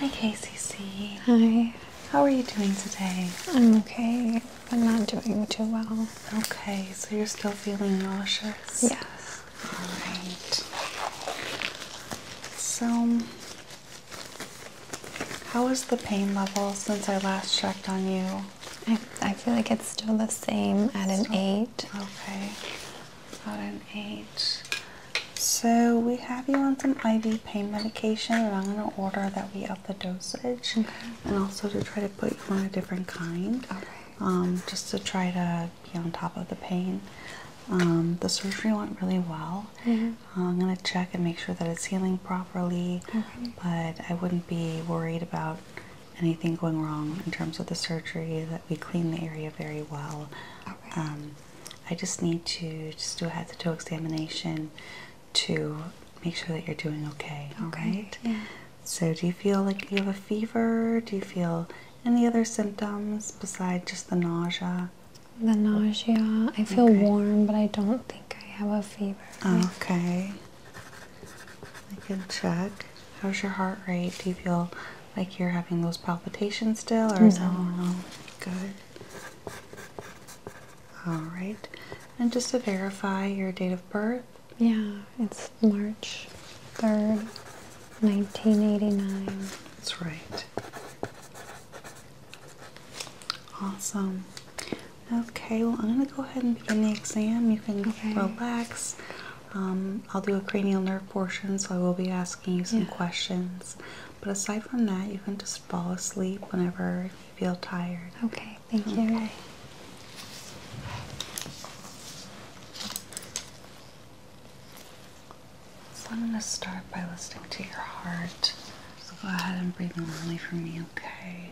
Hi KCC. Hi. How are you doing today? I'm okay. I'm not doing too well. Okay, so you're still feeling nauseous? Yes. Alright. So, how is the pain level since I last checked on you? I, I feel like it's still the same at an 8. Okay, At an 8. So we have you on some IV pain medication, and I'm going to order that we up the dosage, and also to try to put you on a different kind, um, just to try to be on top of the pain. Um, the surgery went really well. Mm-hmm. Uh, I'm going to check and make sure that it's healing properly, but I wouldn't be worried about anything going wrong in terms of the surgery. That we clean the area very well. Um, I just need to just do a head to toe examination to make sure that you're doing okay. All okay. Yeah. So, do you feel like you have a fever? Do you feel any other symptoms besides just the nausea? The nausea. I feel warm, but I don't think I have a fever. Okay. I can check. How's your heart rate? Do you feel like you're having those palpitations still, or is that normal? Good. All right. And just to verify your date of birth? Yeah, it's March 3rd, 1989. That's right. Awesome. Okay, well, I'm going to go ahead and begin the exam. You can relax. Um, I'll do a cranial nerve portion, so I will be asking you some questions. But aside from that, you can just fall asleep whenever you feel tired. Okay, thank you. So I'm going to start by listening to your heart. So go ahead and breathe normally for me, okay?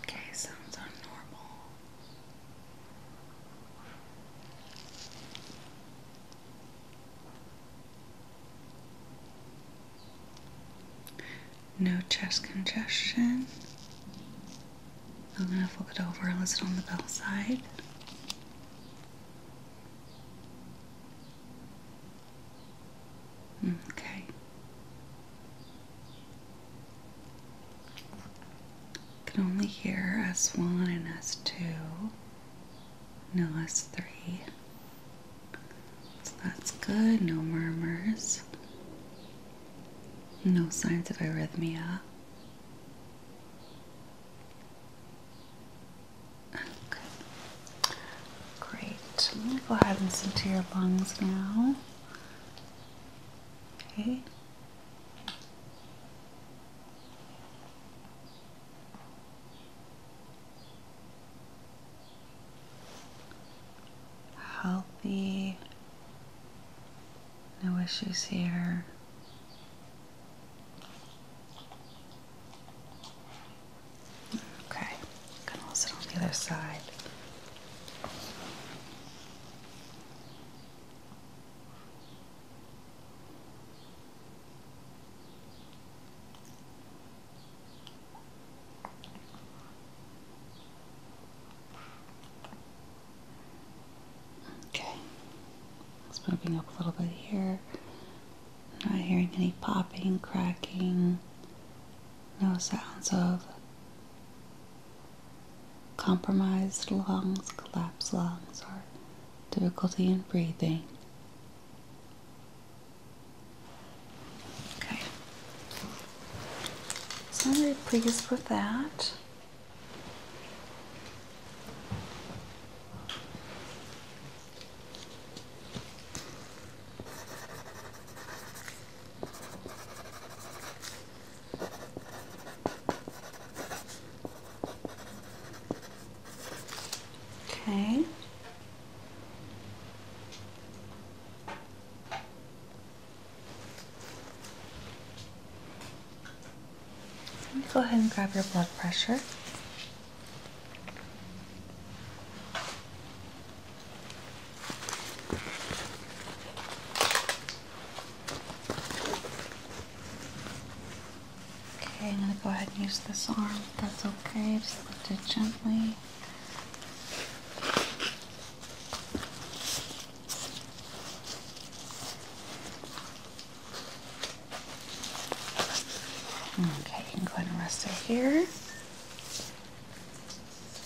Okay, sounds are No chest congestion. I'm gonna flip it over and listen on the bell side. Okay. can only hear S1 and S2. No S3. So that's good. No murmurs. No signs of arrhythmia. Okay. Great. I'm go ahead and listen to your lungs now. Okay. Healthy. No issues here. Okay, I'm gonna hold it on the other side. Okay, moving up a little bit here. not hearing any popping, cracking. No sounds of compromised lungs, collapsed lungs, or difficulty in breathing. Okay. So I'm very pleased with that. Okay. Let me go ahead and grab your blood pressure. Okay, I'm going to go ahead and use this arm. That's okay. Just lift it gently. Okay, you can go ahead and rest it here.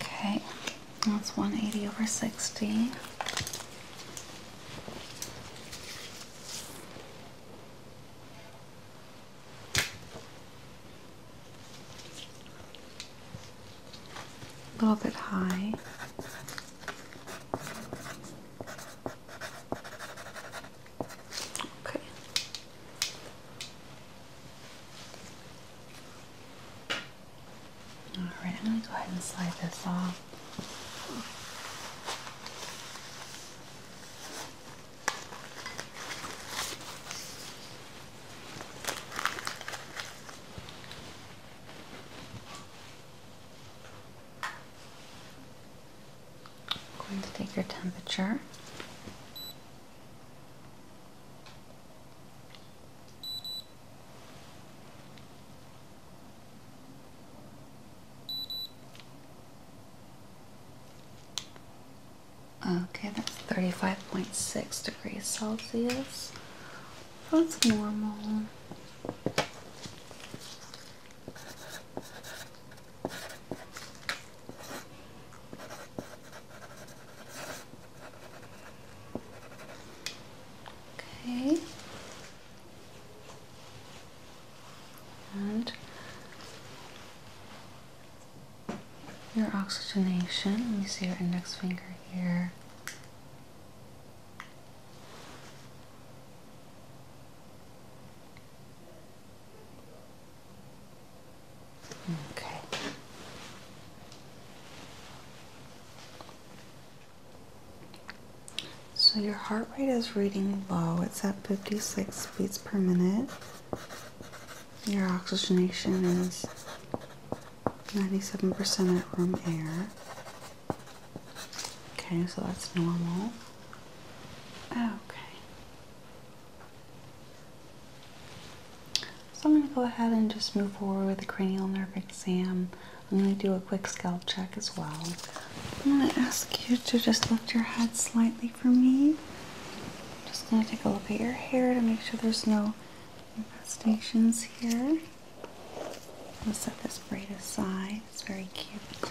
Okay, that's 180 over 60. A little bit high. Okay. All right, I'm going to go ahead and slide this off. I'm going to take your temperature. Okay, that's 35.6 degrees Celsius. That's normal. Okay. And your oxygenation. Let me see your index finger here. Okay. So your heart rate is reading low. It's at 56 beats per minute. Your oxygenation is 97% at room air. Okay, so that's normal. Okay. So I'm going to go ahead and just move forward with the cranial nerve exam. I'm going to do a quick scalp check as well. I'm going to ask you to just lift your head slightly for me. just going to take a look at your hair to make sure there's no infestations here. I'm going to set this braid aside. It's very cute.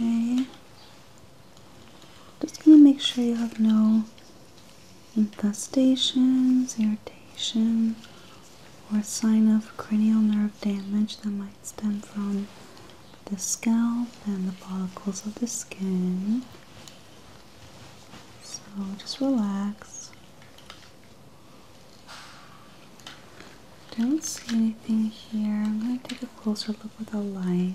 Okay. Just going to make sure you have no infestations, irritation, or sign of cranial nerve damage that might light stem from the scalp and the follicles of the skin. So just relax. Don't see anything here. I'm going to take a closer look with a light.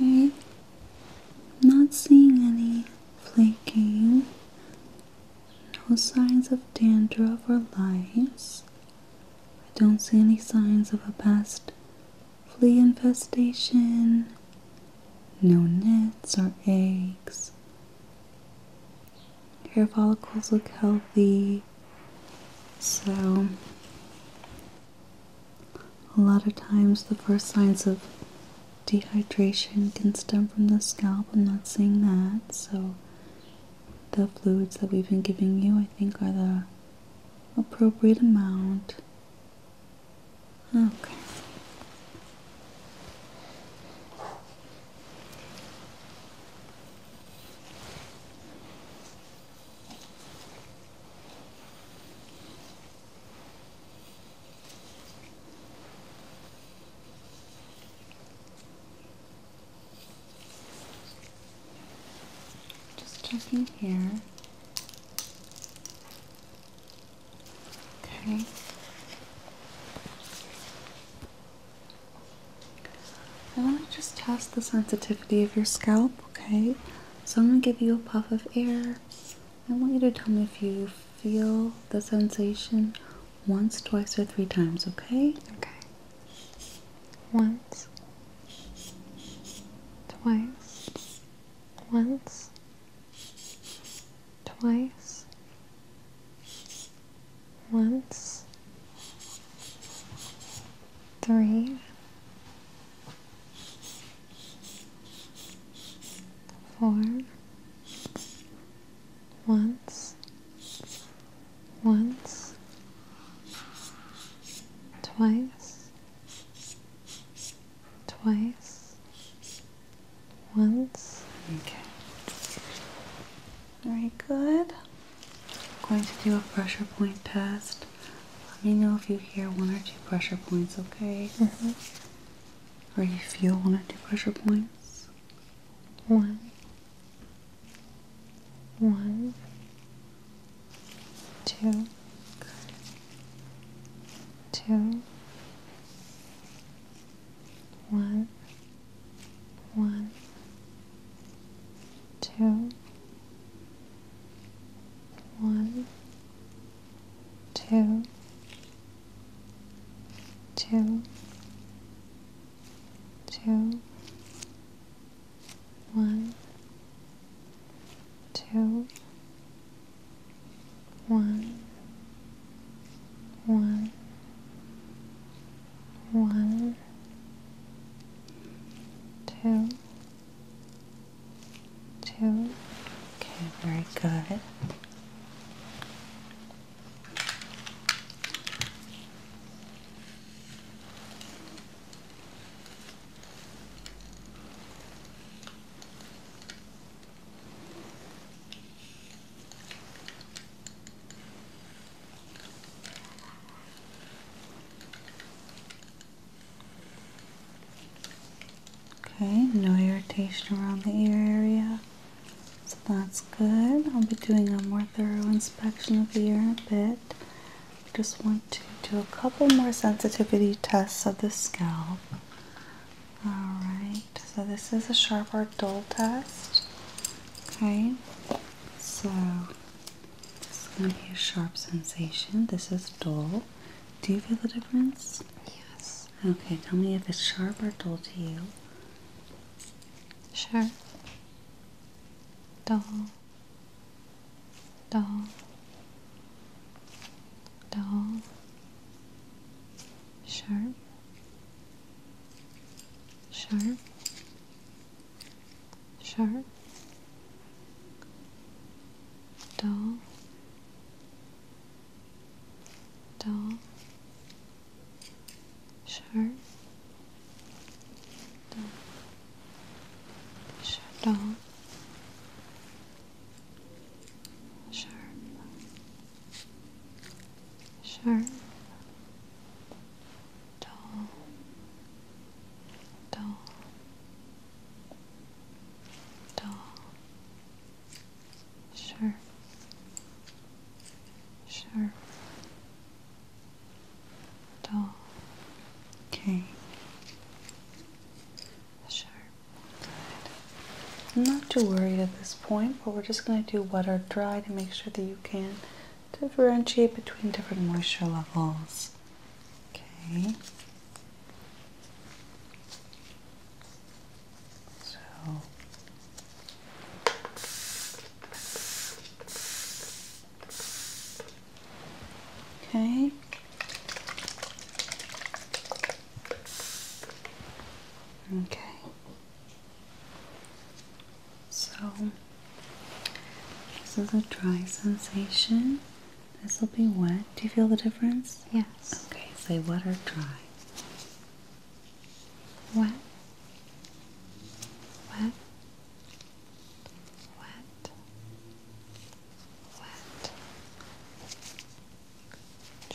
Okay. Not seeing any flaking. No signs of dandruff or lice. I don't see any signs of a past flea infestation. No nits or eggs. Hair follicles look healthy. So, a lot of times the first signs of dehydration can stem from the scalp. I'm not seeing that. So, the fluids that we've been giving you, I think, are the appropriate amount. Okay. Just checking here. Okay. I want to just test the sensitivity of your scalp, okay? So I'm going to give you a puff of air. I want you to tell me if you feel the sensation once, twice, or three times, okay? Okay. Once, twice, once, twice, once, three, four, once, once, twice, twice, once. Okay. Very good. I'm going to do a pressure point test. Let me know if you hear one or two pressure points, okay? Mm Or you feel one or two pressure points? One. One. Two. Two. One one, two, one, two, two, two, one, two, one, one, one, two, two. Okay, very good. Okay, no irritation around the ear area, so that's good. I'll be doing a more thorough inspection of the ear in a bit. just want to do a couple more sensitivity tests of the scalp. Alright, so this is a sharp or dull test. Okay, so this is going to be a sharp sensation. This is dull. Do you feel the difference? Yes. Okay, tell me if it's sharp or dull to you. Sharp. Dull. Dull. Dull. Sharp. Sharp sharp, dull, dull, sharp, dull, sharp, dull, sharp, sharp dull, dull, dull, sharp, sharp, dull. Okay. Sharp. Good. I'm not too worried at this point, but we're just going to do wet or dry to make sure that you can differentiate between different moisture levels. Okay. So Okay. Okay. So, this is a dry sensation. This will be wet. Do you feel the difference? Yes. Okay, say wet or dry. Wet. Wet. Wet. Wet.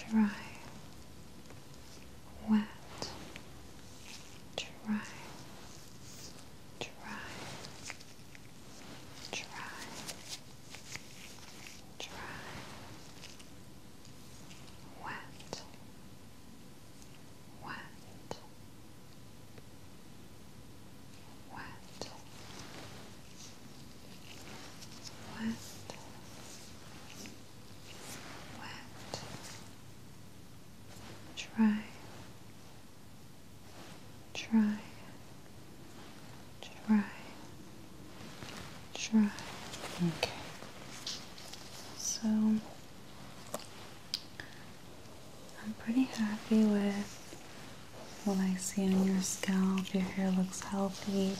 Dry. Wet. Dry try, try, try, wet, wet, wet, wet. Wet, dry, try, try, try. Okay. So I'm pretty happy with what I see on your scalp. Your hair looks healthy.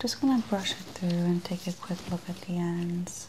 Just gonna brush it through and take a quick look at the ends.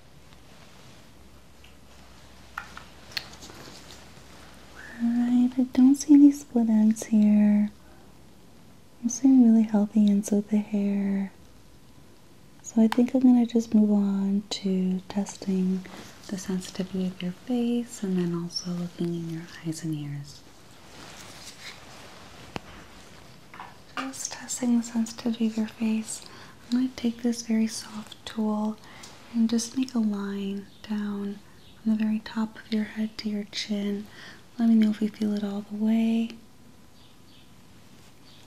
Alright, I don't see any split ends here. I'm seeing really healthy ends with the hair. So I think I'm going to just move on to testing the sensitivity of your face and then also looking in your eyes and ears. Just testing the sensitivity of your face. I'm going to take this very soft tool and just make a line down from the very top of your head to your chin. Let me know if you feel it all the way.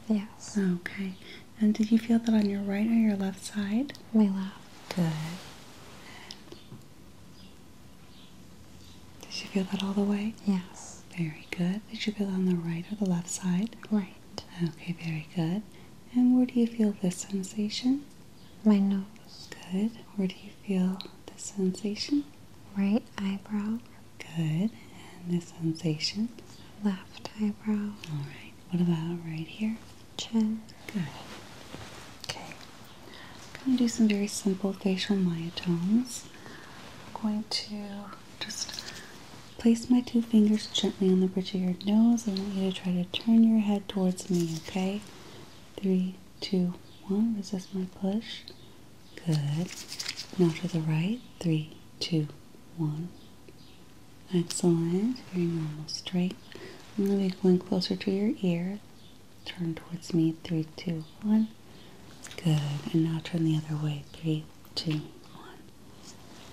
Yes. Okay. And did you feel that on your right or your left side? My left. Good. Did you feel that all the way? Yes. Very good. Did you feel on the right or the left side? Right. Okay, very good. And where do you feel this sensation? My nose. Good. Where do you feel the sensation? Right eyebrow. Good. And the sensation? Left eyebrow. All right. What about right here? Chin. Good. Okay. I'm going to do some very simple facial myotones. I'm going to just place my two fingers gently on the bridge of your nose. I want you to try to turn your head towards me, okay? Three, two, one. Resist my push. Good. Now to the right. Three, two, one. Excellent. Very normal, straight. I'm going to be going closer to your ear. Turn towards me. Three, two, one. Good. And now turn the other way. Three, two, one.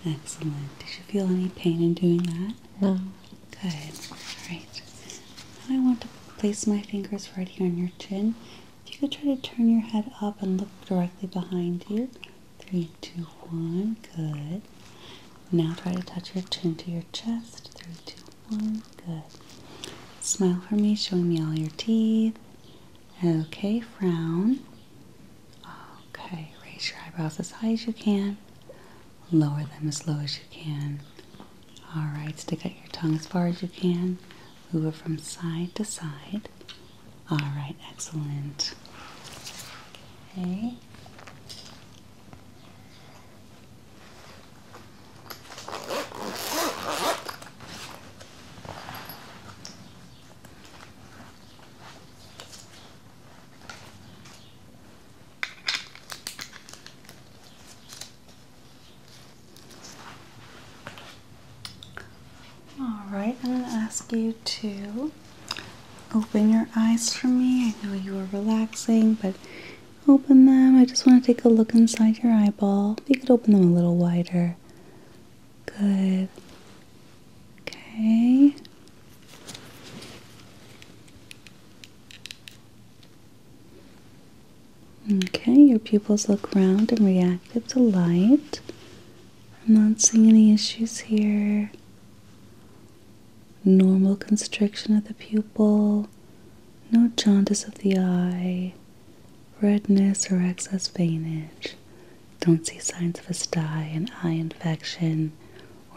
Excellent. Did you feel any pain in doing that? No. Good. Alright. I want to place my fingers right here on your chin. If you could try to turn your head up and look directly behind you. Three, two, one. Good. Now try to touch your chin to your chest. Three, two, one. Good. Smile for me, showing me all your teeth. Okay, frown. Okay, raise your eyebrows as high as you can. Lower them as low as you can. Alright, stick out your tongue as far as you can. Move it from side to side. Alright, excellent. Okay. All right, I'm going to ask you to open your eyes for me. I know you are relaxing, but open them. I just want to take a look inside your eyeball. You could open them a little wider. Good. Okay. Okay, your pupils look round and reactive to light. I'm not seeing any issues here. Normal constriction of the pupil, no jaundice of the eye, redness, or excess veinage. Don't see signs of a sty, an eye infection,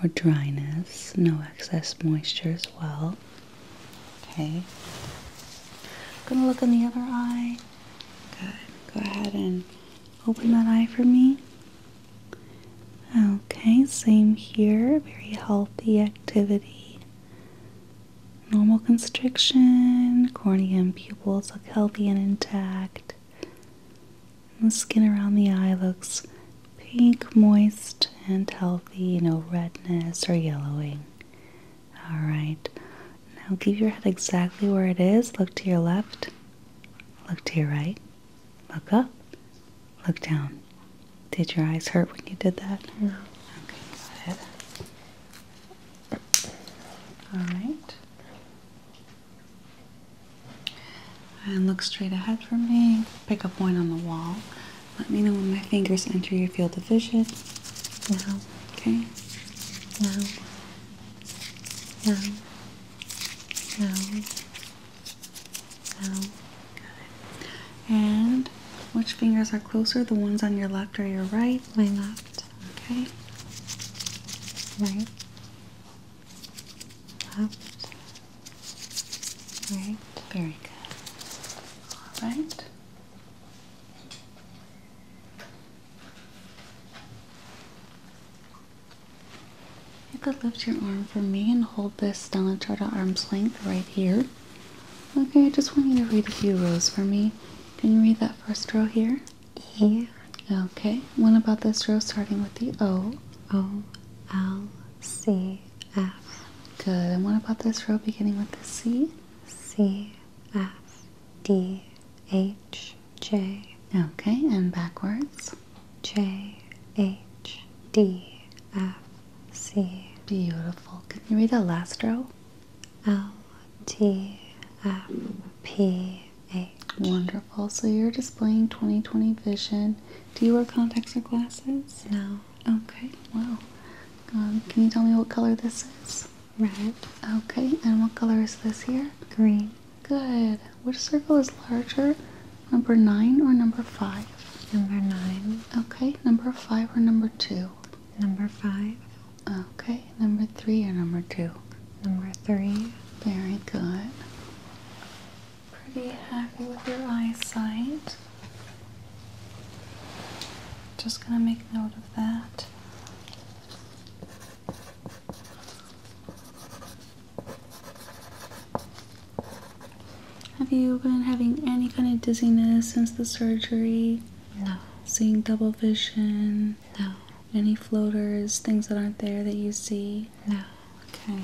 or dryness. No excess moisture as well. Okay. Going to look in the other eye. Good. Go ahead and open that eye for me. Okay, same here. Very healthy activity. Normal constriction, corneum pupils look healthy and intact. the skin around the eye looks pink, moist, and healthy, no redness or yellowing. Alright, now keep your head exactly where it is. Look to your left, look to your right, look up, look down. Did your eyes hurt when you did that? No. Okay, good. Alright. And look straight ahead for me. Pick a point on the wall. Let me know when my fingers enter your field of vision. Now, okay? Now, now, now, now. Good. And which fingers are closer? The ones on your left or your right? My left okay? Right, left, right, very good. All right. You could lift your arm for me and hold this down chart at arm's length right here. Okay, I just want you to read a few rows for me. Can you read that first row here? E. Okay. What about this row starting with the O? O, L, C, F. Good. And what about this row beginning with the C? C, F, D, H, J. Okay. And backwards? J, H, D, F, C. Beautiful. Can you read the last row? L T F P A. Wonderful. So you're displaying 2020 vision. Do you wear contacts or glasses? No. Okay. Wow. Um, can you tell me what color this is? Red. Okay. And what color is this here? Green. Good. Which circle is larger, number nine or number five? Number nine. Okay. Number five or number two? Number five. Okay, number three or number two? Number three. Very good. Pretty happy with your eyesight. Just gonna make note of that. Have you been having any kind of dizziness since the surgery? No. Seeing double vision? No. Any floaters, things that aren't there that you see? No. Okay.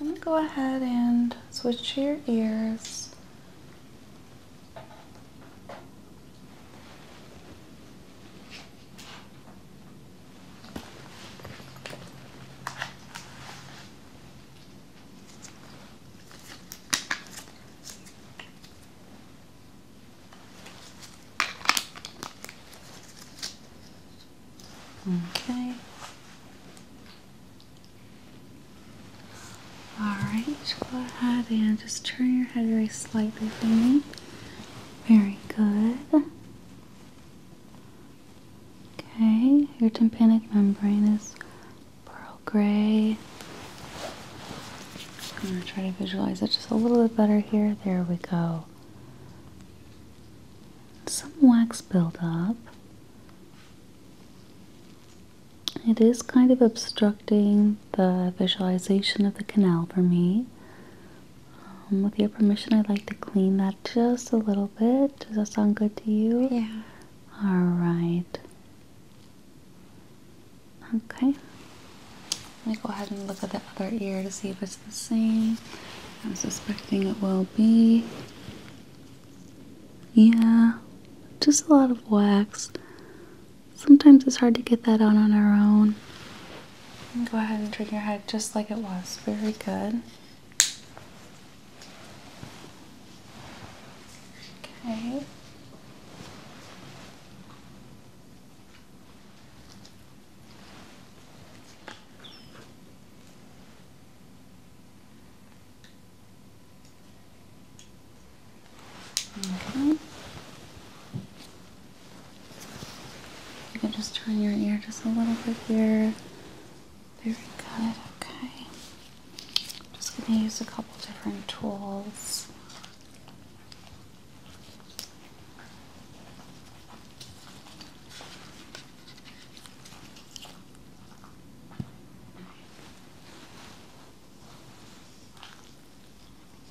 I'm go ahead and switch to your ears. Okay. Alright, go ahead and just turn your head very slightly for me. Very good. Okay, your tympanic membrane is pearl gray. I'm going to try to visualize it just a little bit better here. There we go. Some wax buildup. It is kind of obstructing the visualization of the canal for me, um, with your permission, I'd like to clean that just a little bit. Does that sound good to you? Yeah. All right. Okay. Let me go ahead and look at the other ear to see if it's the same. I'm suspecting it will be. Yeah, just a lot of wax. Sometimes it's hard to get that out on our own go ahead and turn your head just like it was. Very good. Okay. Okay. You can just turn your ear just a little bit here. Very good, okay. I'm just going to use a couple different tools.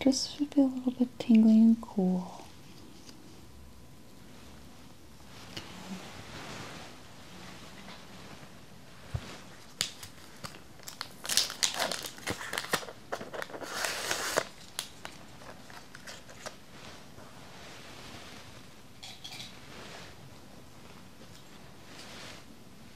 Just should be a little bit tingling and cool.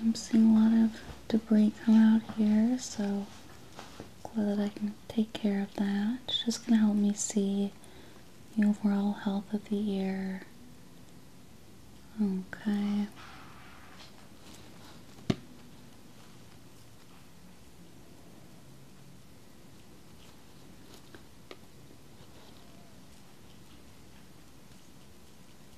I'm seeing a lot of debris come out here, so glad that I can take care of that. just going to help me see the overall health of the ear. Okay.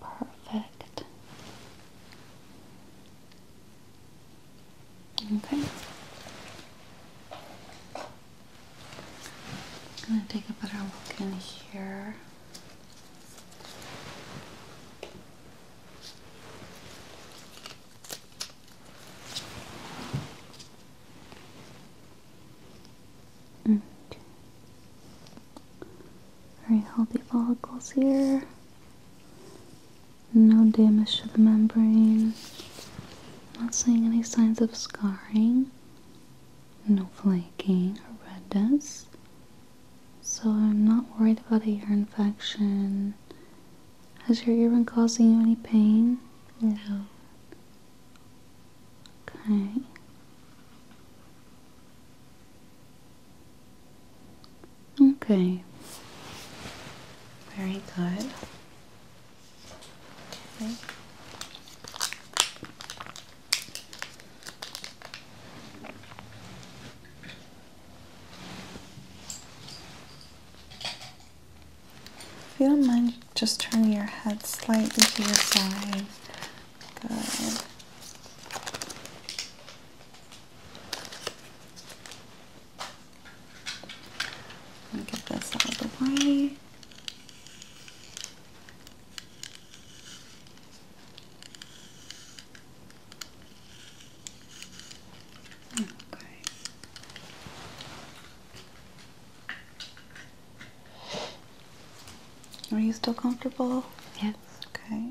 Perfect. Okay. I'm gonna take a better look in here. And very healthy follicles here. No damage to the membrane. Not seeing any signs of scarring. No flaking or redness. So I'm not worried about a ear infection. Has your ear been causing you any pain? No. Okay. Okay. Very good. Okay. If you don't mind, just turn your head slightly to your side Good. And get this out of the way. Okay. Are you still comfortable? Yes. Okay.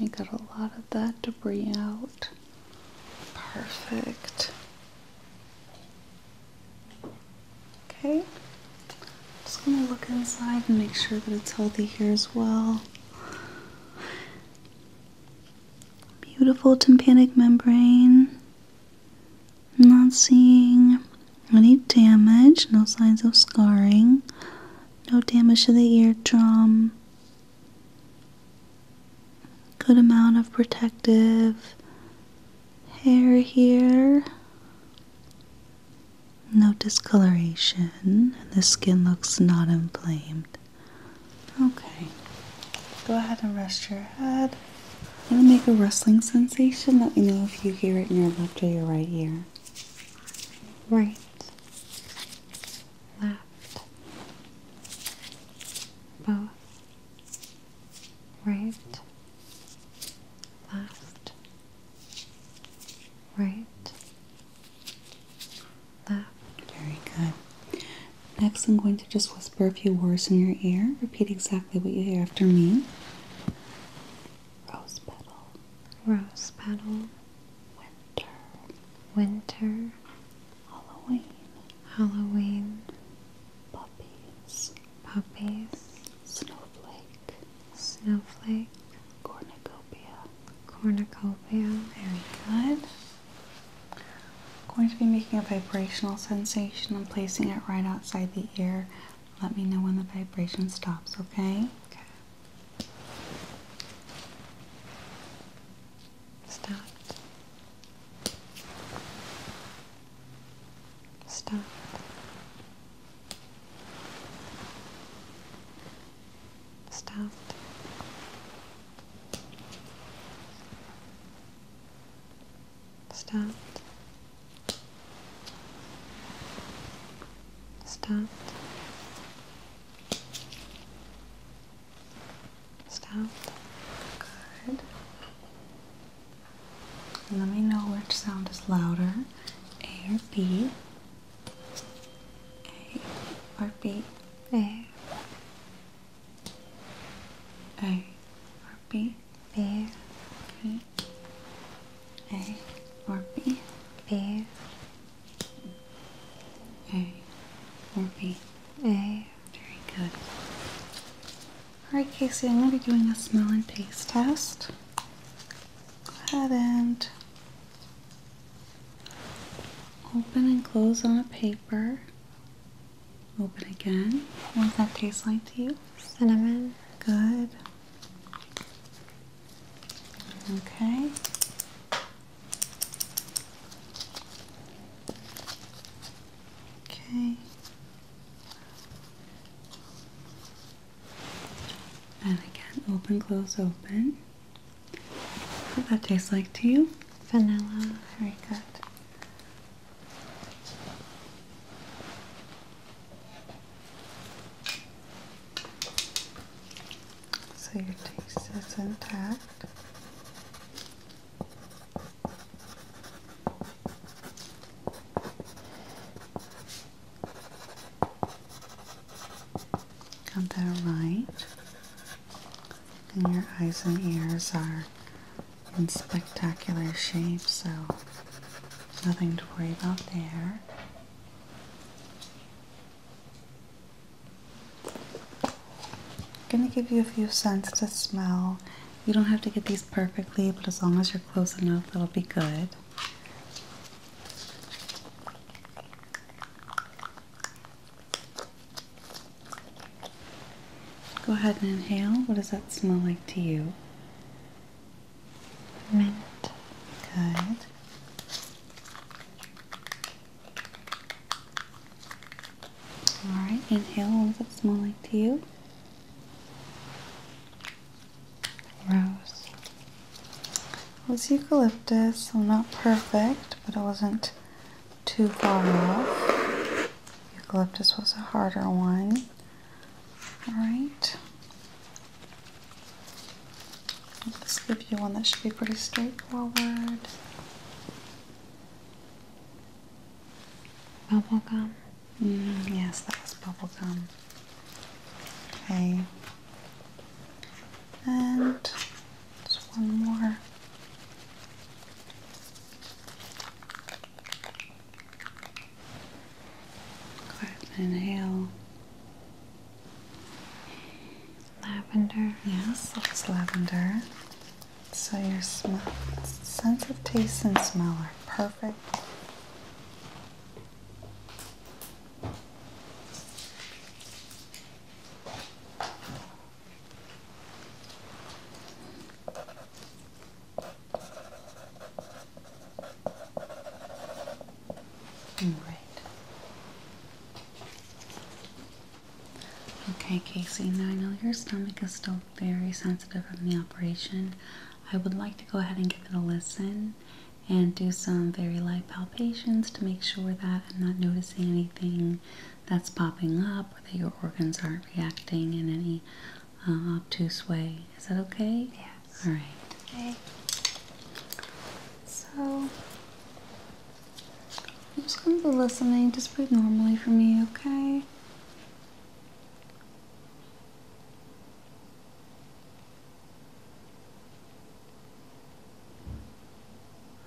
Okay, got a lot of that debris out. Perfect. Okay, just gonna look inside and make sure that it's healthy here as well. Beautiful tympanic membrane. Not seeing any damage, no signs of scarring, no damage to the eardrum. Good amount of protective hair here. No discoloration, and the skin looks not inflamed. Okay. Go ahead and rest your head. I'm gonna make a rustling sensation. Let me know if you hear it in your left or your right ear. Right. Left. Both. Right. Left. Right. Left. Very good. Next, I'm going to just whisper a few words in your ear. Repeat exactly what you hear after me. Rose petal. Rose petal. Winter. Winter. Halloween. Halloween. Puppies. Puppies. Snowflake. Snowflake. Cornucopia. Cornucopia. Very good. I'm going to be making a vibrational sensation. and placing it right outside the ear. Let me know when the vibration stops, okay? Okay. Stop. Stop. Stopped start, start, start. Good. Let me know which sound is louder, A or B. A or B. A a or B? B. A or B? B. A or B? A. Very good. Alright, Casey, I'm going to be doing a smell and taste test. Go ahead and open and close on a paper. Open again. What does that taste like to you? Cinnamon. Good. Okay. Okay. And again, open, close, open. What does that taste like to you? Vanilla. Very good. So your taste is intact. Got that right. And your eyes and ears are in spectacular shape, so nothing to worry about there. I'm gonna give you a few cents to smell. You don't have to get these perfectly, but as long as you're close enough, it will be good. Go ahead and inhale. What does that smell like to you? Mint. Good. Alright, inhale. What does it smell like to you? Rose. was eucalyptus, I'm not perfect, but I wasn't too far off. Eucalyptus was a harder one. Alright. Let's give you one that should be pretty straightforward. Bubble gum. Mm, yes, that was gum. Okay. And just one more inhale. Lavender. Yes, it's lavender. So your sense of taste and smell are perfect. All right. Okay, Casey, now I know your stomach is still very sensitive from the operation. I would like to go ahead and give it a listen and do some very light palpations to make sure that I'm not noticing anything that's popping up, or that your organs aren't reacting in any um, obtuse way. Is that okay? Yes. All right. Okay. So I'm just going to be listening. Just breathe normally for me, okay?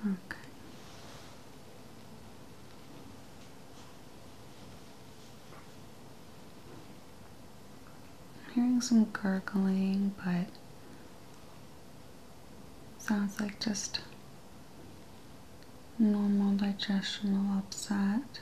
Okay. I'm hearing some gurgling, but sounds like just normal digestional upset.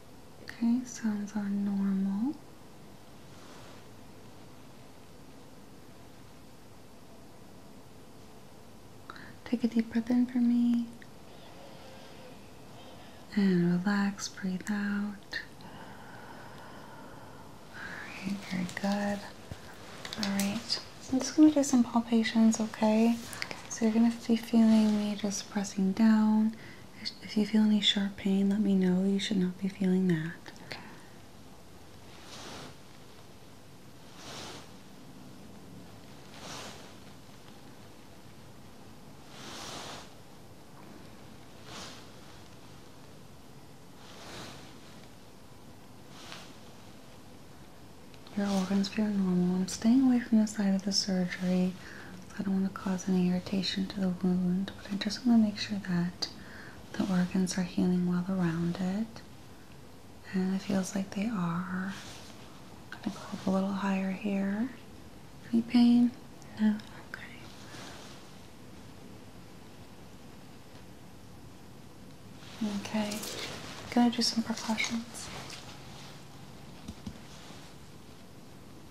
Okay, sounds are normal. Take a deep breath in for me. And relax, breathe out. Alright, very good. Alright, I'm just gonna do some palpations, okay? So you're gonna be feeling me just pressing down if you feel any sharp pain, let me know. You should not be feeling that. Okay. Your organs feel normal. I'm staying away from the side of the surgery. I don't want to cause any irritation to the wound, but I just want to make sure that the organs are healing well around it. And it feels like they are. I'm going to go up a little higher here. Any pain? No? Okay. Okay, I'm gonna do some percussions.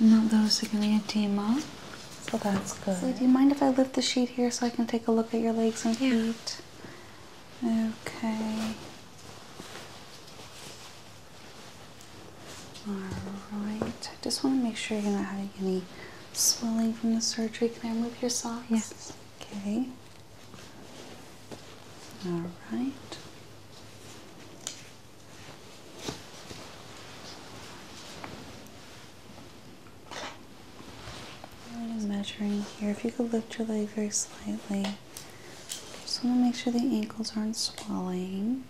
Not those They're gonna be a glioedema. So that's good. So do you mind if I lift the sheet here so I can take a look at your legs and feet? Okay. All right. I just want to make sure you're not having any swelling from the surgery. Can I remove your socks? Yes. Okay. All right. I'm measuring here. If you could lift your leg very slightly. Just want to make sure the ankles aren't swelling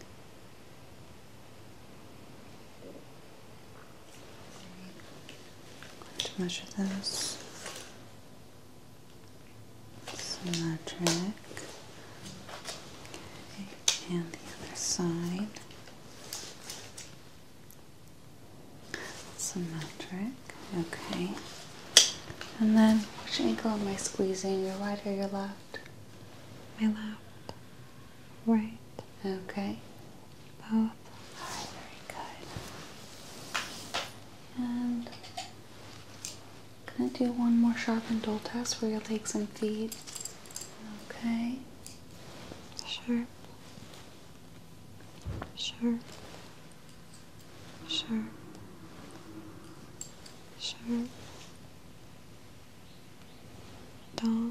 to measure those. Symmetric. Okay, and the other side. Symmetric. Okay. And then which ankle am I squeezing? Your right or your left? My left. Right. Okay. Both. very good. And I'm going to do one more sharp and dull test for your take some feet. Okay. Sharp. Sharp. Sharp. Sharp. Dull.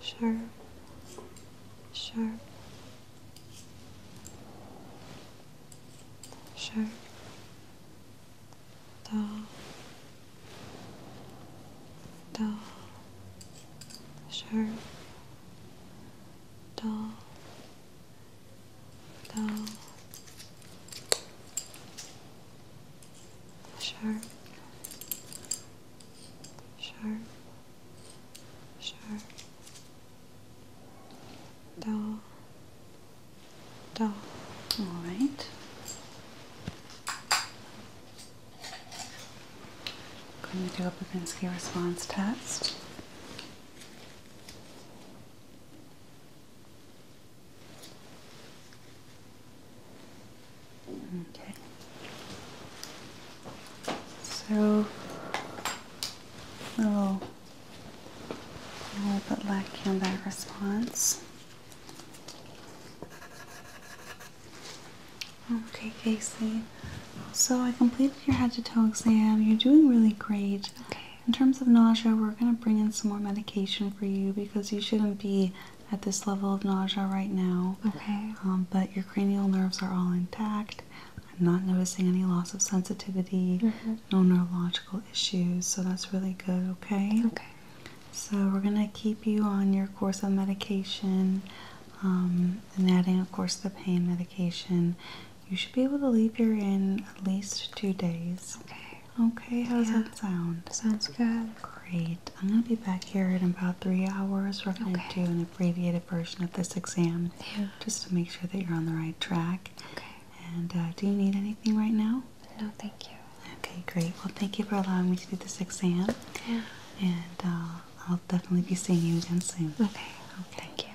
sharp, sharp, sharp, dull, dull, sharp, dull, dull, sharp, sharp. Sure. dull, dull. All right. Going to do a Babinski response test. Okay. So a a little bit lacking that response. Okay, Casey. So I completed your head to toe exam. You're doing really great. Okay. In terms of nausea, we're going to bring in some more medication for you because you shouldn't be at this level of nausea right now. Okay. Um, but your cranial nerves are all intact. I'm not noticing any loss of sensitivity, mm-hmm. no neurological issues, so that's really good, okay? Okay. So, we're going to keep you on your course of medication um, and adding, of course, the pain medication. You should be able to leave here in at least two days. Okay. Okay, how does that sound? Sounds good. Great. I'm going to be back here in about three hours. We're going to okay abbreviated version of this exam just to make sure that you're on the right track. And uh, do you need anything right now? No, thank you. Okay, great. Well, thank you for allowing me to do this exam. Yeah. And uh, I'll definitely be seeing you again soon. Okay. okay. Thank you.